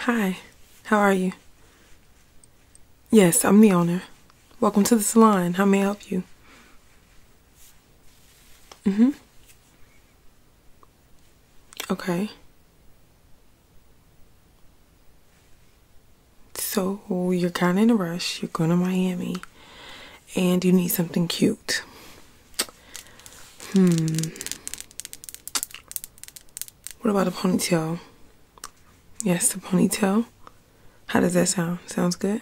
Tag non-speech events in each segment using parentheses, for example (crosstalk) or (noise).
Hi, how are you? Yes, I'm the owner. Welcome to the salon. How may I help you? Mm-hmm. Okay. So you're kind of in a rush. You're going to Miami and you need something cute. Hmm. What about a ponytail? Yes, the ponytail. How does that sound? Sounds good?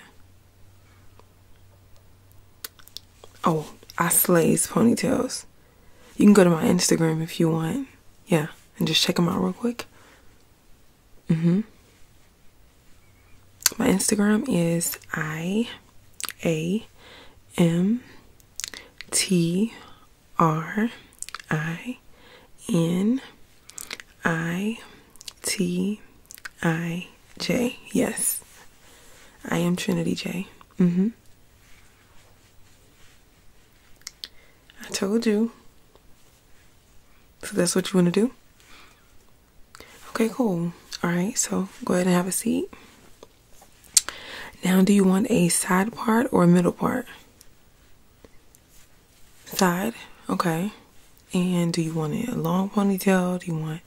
Oh, I slays ponytails. You can go to my Instagram if you want. Yeah, and just check them out real quick. Mm hmm my Instagram is I A M T R I N I T I J. Yes, I am Trinity J. hmm. I told you. So that's what you want to do? Okay, cool. All right, so go ahead and have a seat. Now, do you want a side part or a middle part? Side, okay. And do you want it a long ponytail? Do you want,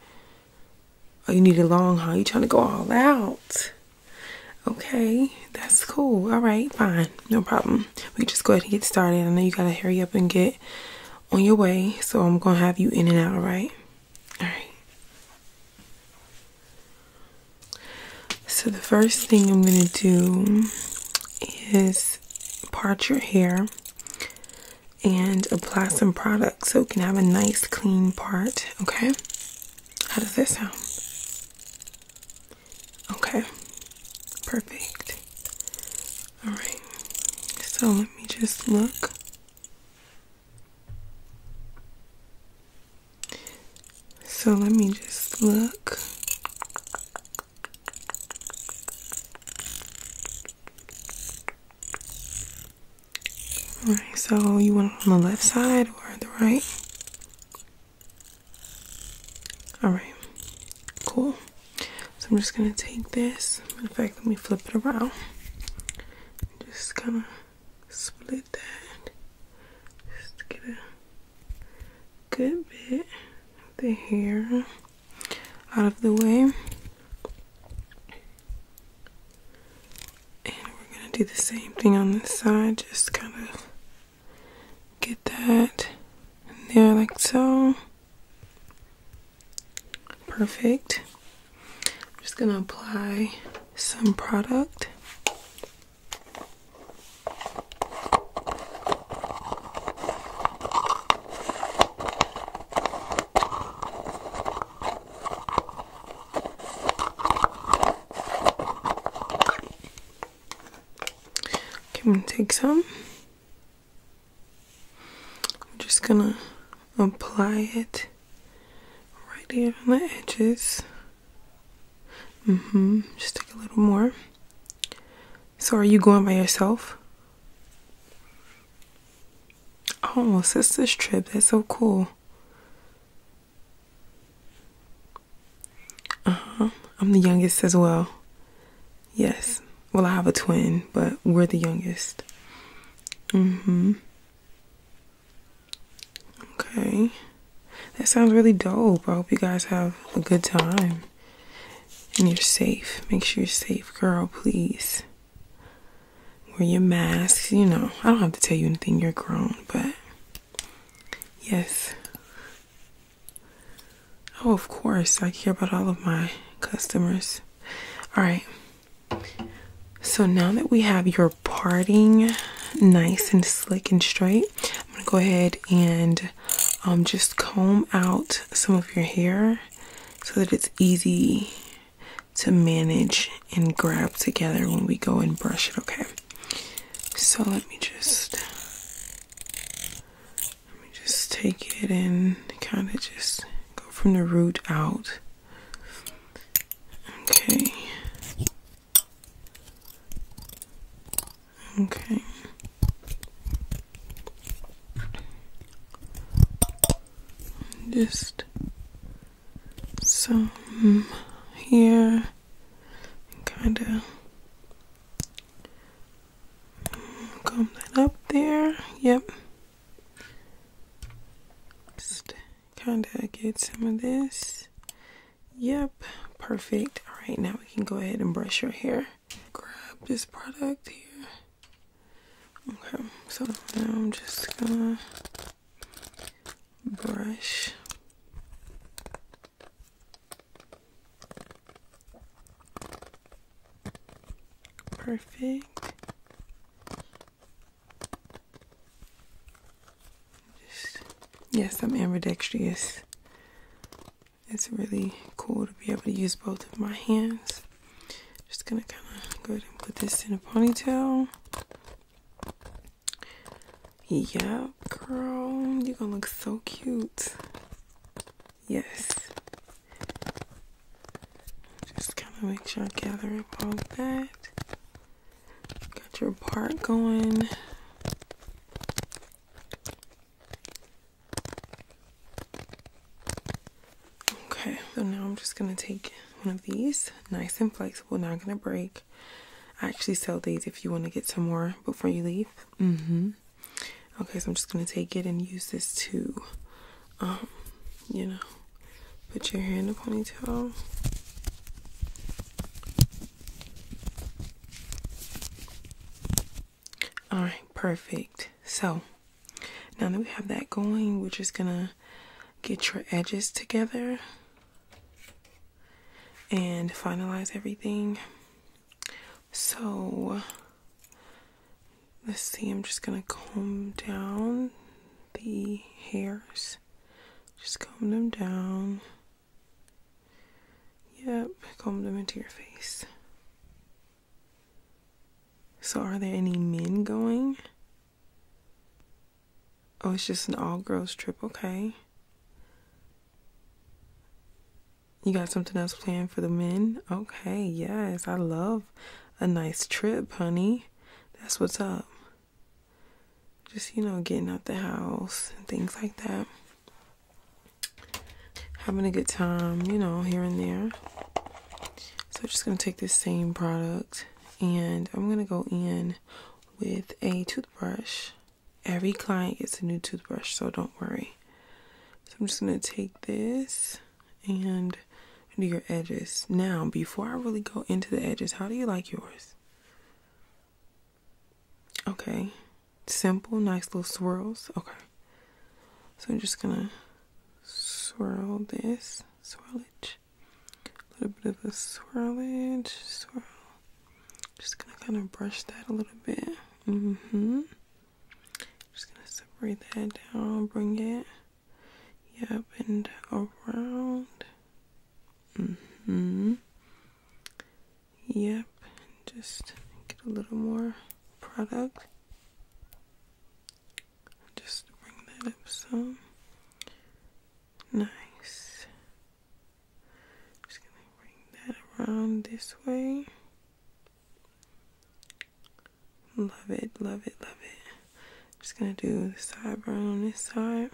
oh, you need a long, huh? You trying to go all out. Okay, that's cool. All right, fine. No problem. We just go ahead and get started. I know you got to hurry up and get on your way. So I'm going to have you in and out, all right? All right. So the first thing I'm going to do is part your hair and apply some product so we can have a nice clean part, okay? How does that sound? Okay. Perfect. All right. So let me just look. So let me just look. All right, so you want on the left side or the right? All right, cool. So I'm just gonna take this. In fact, let me flip it around just kind of split that just get a good bit of the hair out of the way. And we're gonna do the same thing on this side, just kind of get that there like so. Perfect. I'm just going to apply some product. Can we take some I'm just gonna apply it right here on the edges. Mm-hmm. Just take a little more. So are you going by yourself? Oh, sister's trip. That's so cool. Uh-huh. I'm the youngest as well. Yes well, I have a twin, but we're the youngest. hmm. Okay. That sounds really dope. I hope you guys have a good time. And you're safe. Make sure you're safe, girl, please. Wear your masks. You know, I don't have to tell you anything. You're grown, but yes. Oh, of course. I care about all of my customers. All right. So now that we have your parting nice and slick and straight, I'm gonna go ahead and um, just comb out some of your hair so that it's easy to manage and grab together when we go and brush it, okay? So let me just let me just take it and kind of just from the root out. Okay. Okay. Just some here, kind of comb that up there. Yep. Just kind of get some of this. Yep, perfect. All right, now we can go ahead and brush your hair. Grab this product here. Okay, so now I'm just gonna brush perfect. yes, I'm ambidextrous. It's really cool to be able to use both of my hands. Just gonna kind of go ahead and put this in a ponytail. Yeah, girl, you're gonna look so cute. Yes. Just kind of make sure I gather up all that. Got your part going. Okay, so now I'm just going to take one of these, nice and flexible, not going to break. I actually sell these if you want to get some more before you leave. Mm-hmm. Okay, so I'm just going to take it and use this to um, you know, put your hair in a ponytail. All right, perfect. So now that we have that going, we're just gonna get your edges together and finalize everything. So Let's see, I'm just gonna comb down the hairs. Just comb them down. Yep, comb them into your face. So, are there any men going? Oh, it's just an all girls trip. Okay. You got something else planned for the men? Okay, yes. I love a nice trip, honey. That's what's up. Just, you know, getting out the house and things like that. Having a good time, you know, here and there. So I'm just going to take this same product and I'm going to go in with a toothbrush. Every client gets a new toothbrush, so don't worry. So I'm just going to take this and do your edges. Now, before I really go into the edges, how do you like yours? Okay, simple, nice little swirls. Okay, so I'm just gonna swirl this, swirlage, a little bit of a swirlage, swirl. Just gonna kind of brush that a little bit. Mm hmm. Just gonna separate that down, bring it, yep, and around. Mm-hmm. Yep, just get a little more product. Just bring that up some. Nice. Just gonna bring that around this way. Love it, love it, love it. Just gonna do the side burn on this side.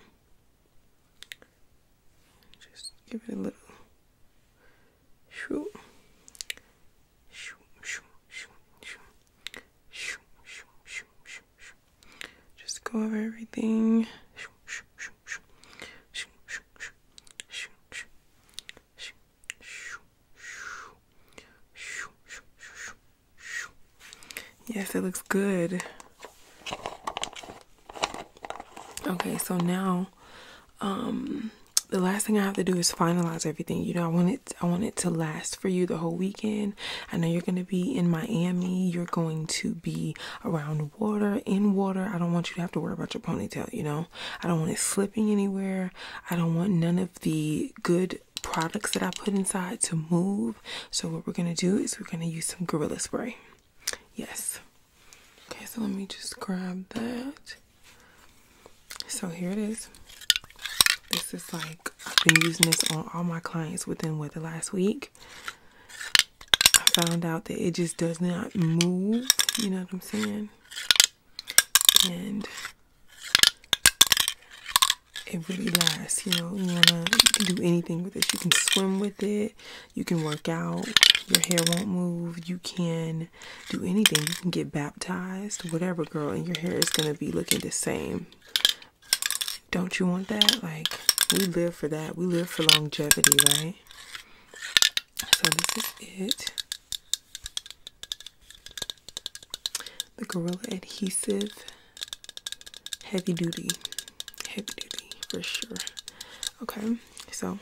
Just give it a little shoot. Just go over everything. Yes, it looks good. Okay, so now um the last thing I have to do is finalize everything. You know, I want it I want it to last for you the whole weekend. I know you're going to be in Miami. You're going to be around water, in water. I don't want you to have to worry about your ponytail, you know. I don't want it slipping anywhere. I don't want none of the good products that I put inside to move. So, what we're going to do is we're going to use some Gorilla Spray. Yes. Okay, so let me just grab that. So, here it is. This is like, I've been using this on all my clients within what the last week. I found out that it just does not move. You know what I'm saying? and it really lasts. You know, you can do anything with it. You can swim with it. You can work out. Your hair won't move. You can do anything. You can get baptized, whatever, girl, and your hair is gonna be looking the same. Don't you want that? Like we live for that. We live for longevity, right? So this is it. The Gorilla Adhesive Heavy Duty. Heavy duty for sure. Okay, so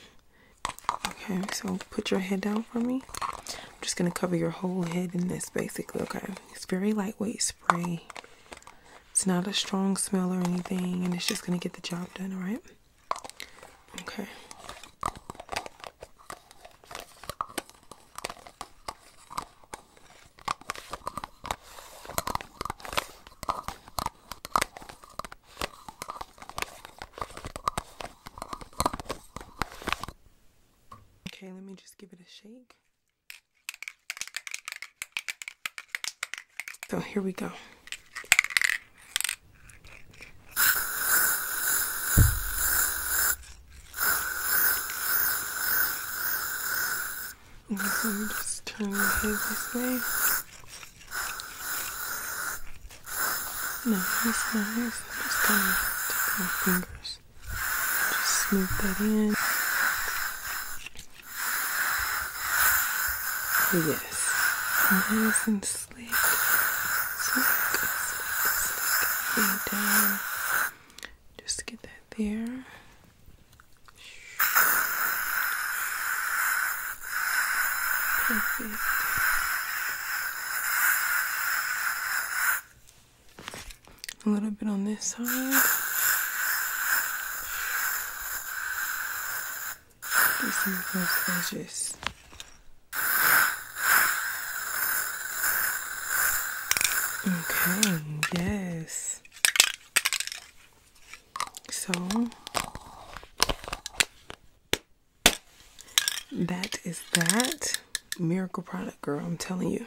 okay, so put your head down for me. I'm just gonna cover your whole head in this basically. Okay, it's very lightweight spray. It's not a strong smell or anything, and it's just gonna get the job done, alright? Okay. Okay, let me just give it a shake. So oh, here we go. I'm just turning my head this way. Nice, nice. Just kind of take my fingers. Just smooth that in. Yes slick, slick, slick, slick, down. Just get that there. Perfect. A little bit on this side. Just move those edges. Okay, yes. So that is that miracle product, girl. I'm telling you.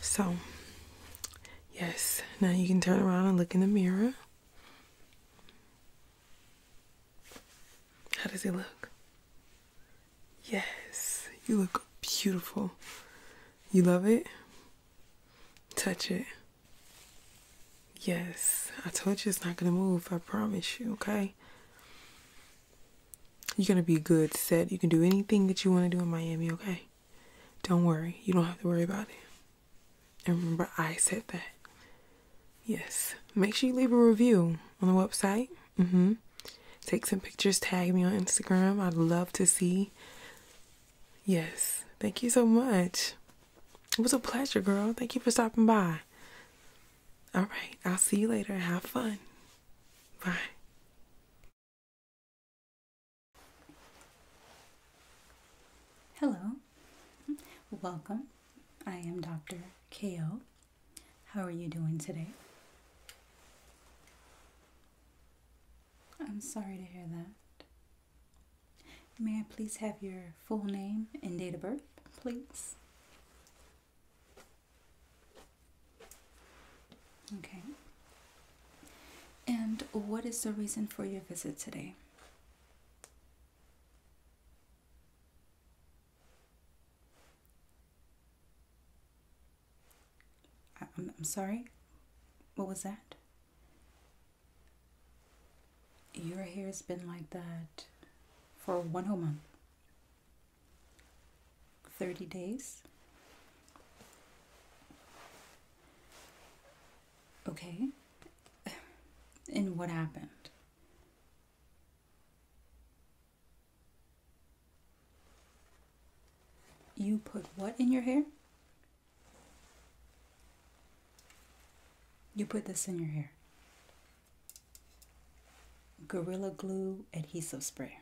So, yes, now you can turn around and look in the mirror. How does he look? Yes, you look beautiful. You love it? Touch it. Yes, I told you it's not gonna move, I promise you, okay? You're gonna be good, set. You can do anything that you wanna do in Miami, okay? Don't worry, you don't have to worry about it. And remember, I said that. Yes. Make sure you leave a review on the website. Mm-hmm. Take some pictures, tag me on Instagram. I'd love to see. Yes. Thank you so much. It was a pleasure, girl. Thank you for stopping by. All right. I'll see you later. Have fun. Bye. Hello. Welcome. I am Dr. K.O. How are you doing today? I'm sorry to hear that. May I please have your full name and date of birth, please? Okay. And what is the reason for your visit today? I'm, I'm sorry? What was that? Your hair's been like that for one whole month. 30 days? Okay. (sighs) And what happened? You put what in your hair? You put this in your hair. Gorilla Glue Adhesive Spray.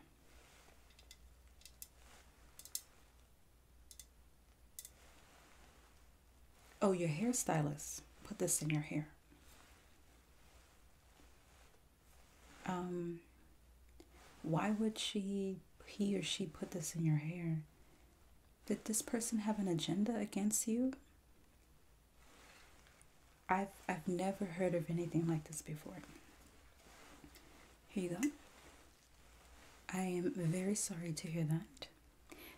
Oh, your hairstylist put this in your hair um why would she he or she put this in your hair did this person have an agenda against you i've i've never heard of anything like this before here you go i am very sorry to hear that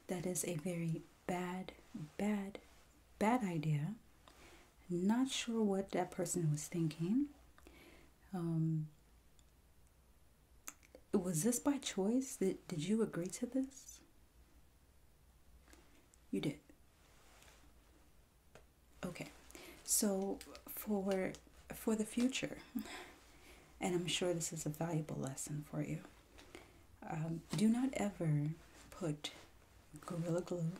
that is a very bad, bad, bad idea. Not sure what that person was thinking. Um, was this by choice? Did, did you agree to this? You did. Okay. So for for the future, (laughs) and I'm sure this is a valuable lesson for you. Um, do not ever put Gorilla Glue,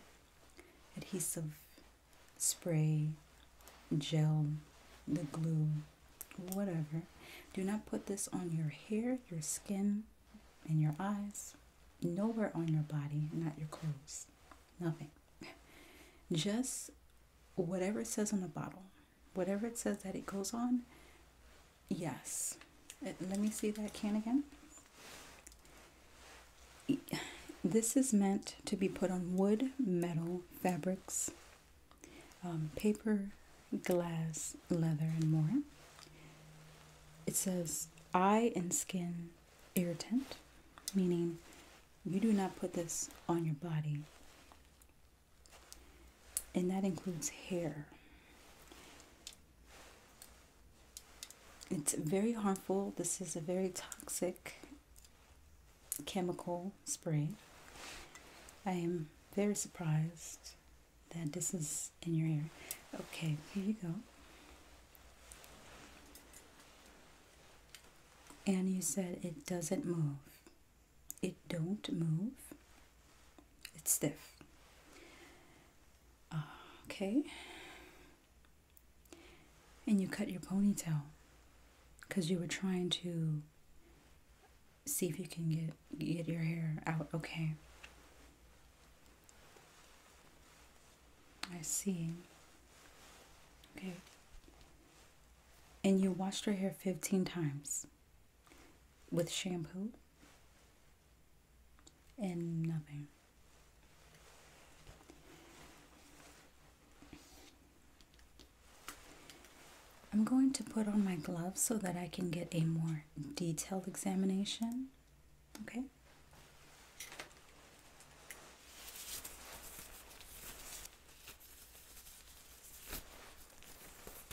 adhesive, spray, gel, the glue, whatever. Do not put this on your hair, your skin, and your eyes, nowhere on your body, not your clothes, nothing. Just whatever it says on the bottle, whatever it says that it goes on, Yes. Uh, let me see that can again. This is meant to be put on wood, metal, fabrics, um, paper, glass, leather, and more. It says eye and skin irritant, meaning you do not put this on your body. And that includes hair. It's very harmful. This is a very toxic chemical spray. I am very surprised that this is in your ear. Okay, here you go. And you said it doesn't move. It don't move. It's stiff. Okay. And you cut your ponytail because you were trying to see if you can get get your hair out okay. I see. Okay. And you washed your hair 15 times with shampoo? and nothing. I'm going to put on my gloves so that I can get a more detailed examination. Okay?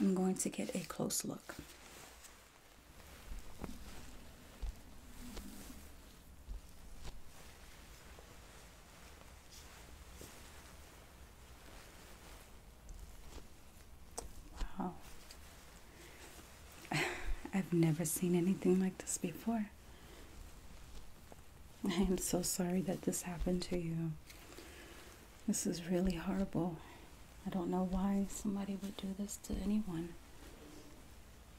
I'm going to get a close look. Wow. (laughs) I've never seen anything like this before. (laughs) I am so sorry that this happened to you. This is really horrible. I don't know why somebody would do this to anyone.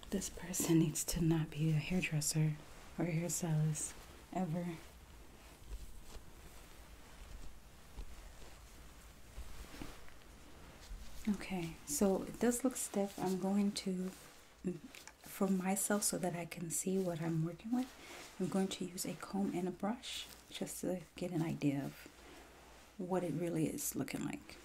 This person needs to not be a hairdresser or hairstylist ever. Okay, so it does look stiff. I'm going to, mm, for myself, so that I can see what I'm working with, I'm going to use a comb and a brush just to get an idea of what it really is looking like.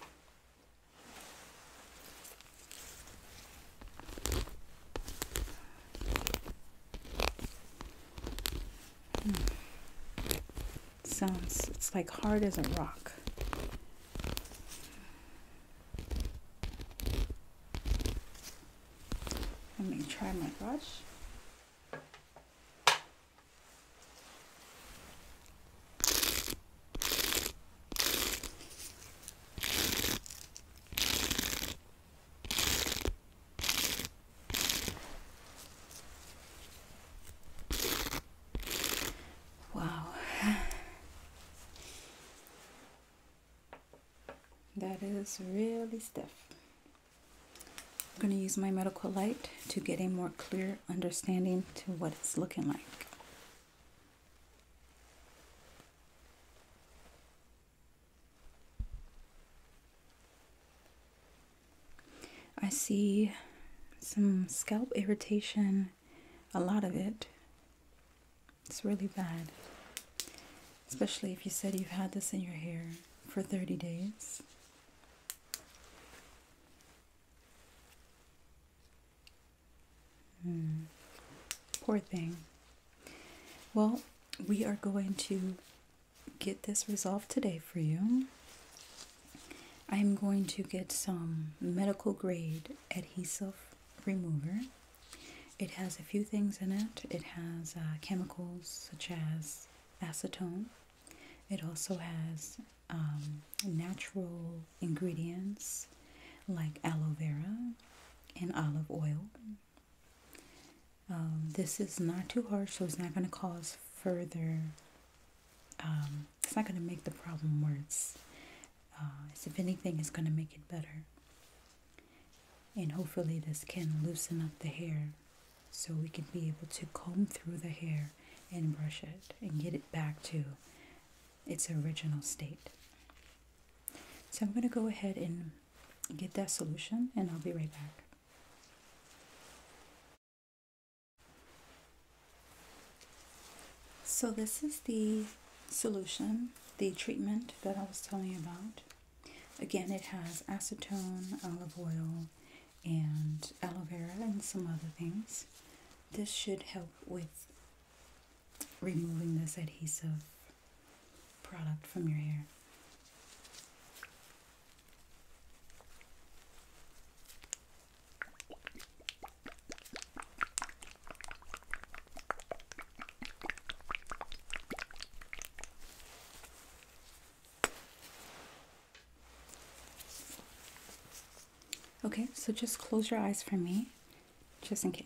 Hmm. Sounds, it's like hard as a rock. Let me try my brush. Wow. (laughs) That is really stiff. I'm going to use my medical light to get a more clear understanding to what it's looking like. I see some scalp irritation, a lot of it, it's really bad. Especially if you said you've had this in your hair for 30 days. Hmm. Poor thing. Well, we are going to get this resolved today for you. I'm going to get some medical grade adhesive remover it has a few things in it. It has uh, chemicals such as acetone. It also has um, natural ingredients like aloe vera and olive oil. Um, this is not too harsh, so it's not going to cause further, um, it's not going to make the problem worse. Uh, if anything, it's going to make it better. And hopefully, this can loosen up the hair so we can be able to comb through the hair and brush it and get it back to its original state. So, I'm going to go ahead and get that solution, and I'll be right back. So, this is the solution, the treatment that I was telling you about. Again, it has acetone, olive oil, and aloe vera, and some other things. This should help with removing this adhesive product from your hair. Okay, so just close your eyes for me, just in case.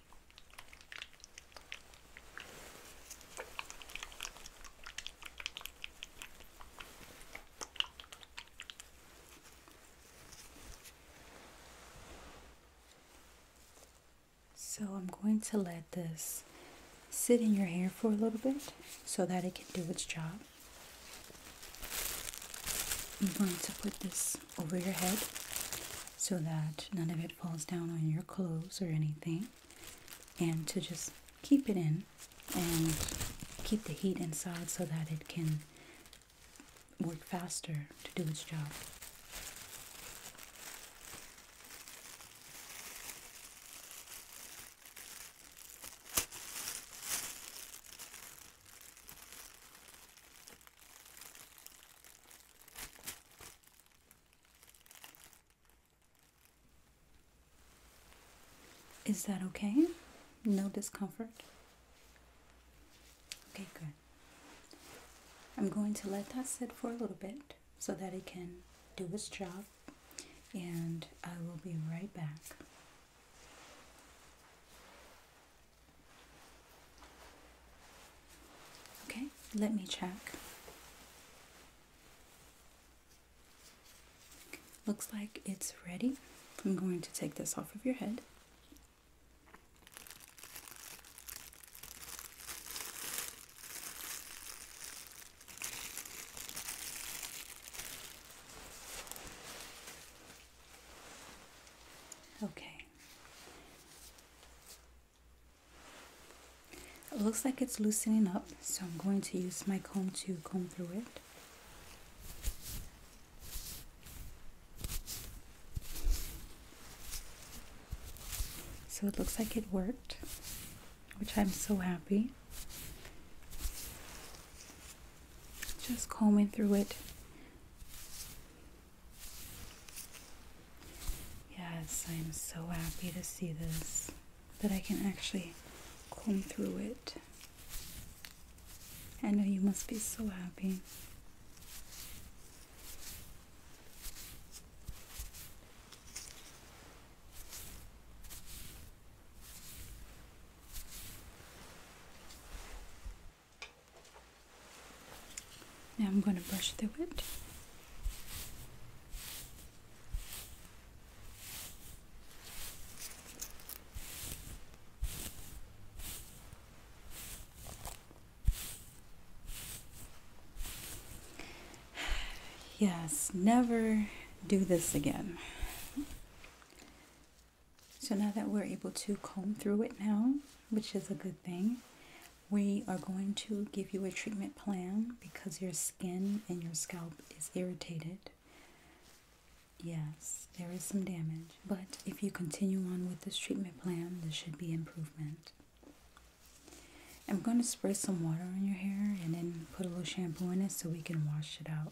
So I'm going to let this sit in your hair for a little bit so that it can do its job. I'm going to put this over your head so that none of it falls down on your clothes or anything, and to just keep it in and keep the heat inside so that it can work faster to do its job. Is that okay? No discomfort? Okay, good. I'm going to let that sit for a little bit so that it can do its job, and I will be right back. Okay, let me check. Looks like it's ready. I'm going to take this off of your head. Okay. It looks like it's loosening up, so I'm going to use my comb to comb through it. So it looks like it worked, which I'm so happy. Just combing through it Yes, I'm so happy to see this, that I can actually comb through it. I know you must be so happy. Now I'm going to brush through it. (sighs) Yes, never do this again. So now that we're able to comb through it now, which is a good thing, we are going to give you a treatment plan because your skin and your scalp is irritated. Yes, there is some damage, but if you continue on with this treatment plan, there should be improvement. I'm going to spray some water on your hair and then put a little shampoo in it so we can wash it out.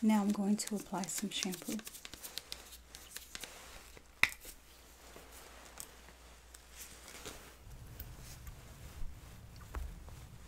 Now I'm going to apply some shampoo.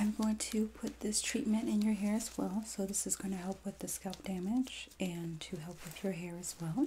I'm going to put this treatment in your hair as well. So this is going to help with the scalp damage and to help with your hair as well.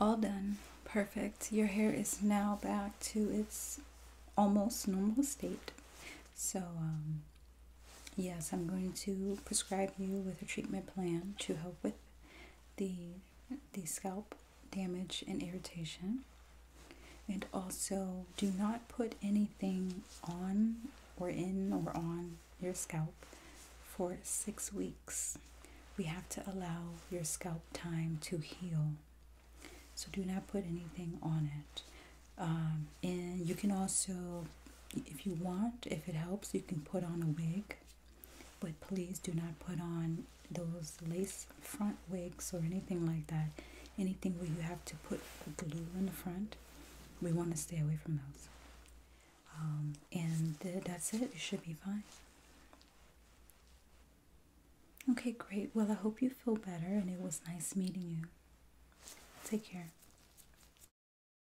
All done. Perfect. Your hair is now back to its almost normal state. So, um, Yes, I'm going to prescribe you with a treatment plan to help with the the scalp damage and irritation. And also, do not put anything on or in or on your scalp for 6 weeks. We have to allow your scalp time to heal. So do not put anything on it. Um, and you can also if you want, if it helps, you can put on a wig, but please do not put on those lace front wigs or anything like that. Anything where you have to put glue in the front, we want to stay away from those. Um, and that's it, it should be fine. Okay, great. Well, I hope you feel better, and it was nice meeting you. Take care.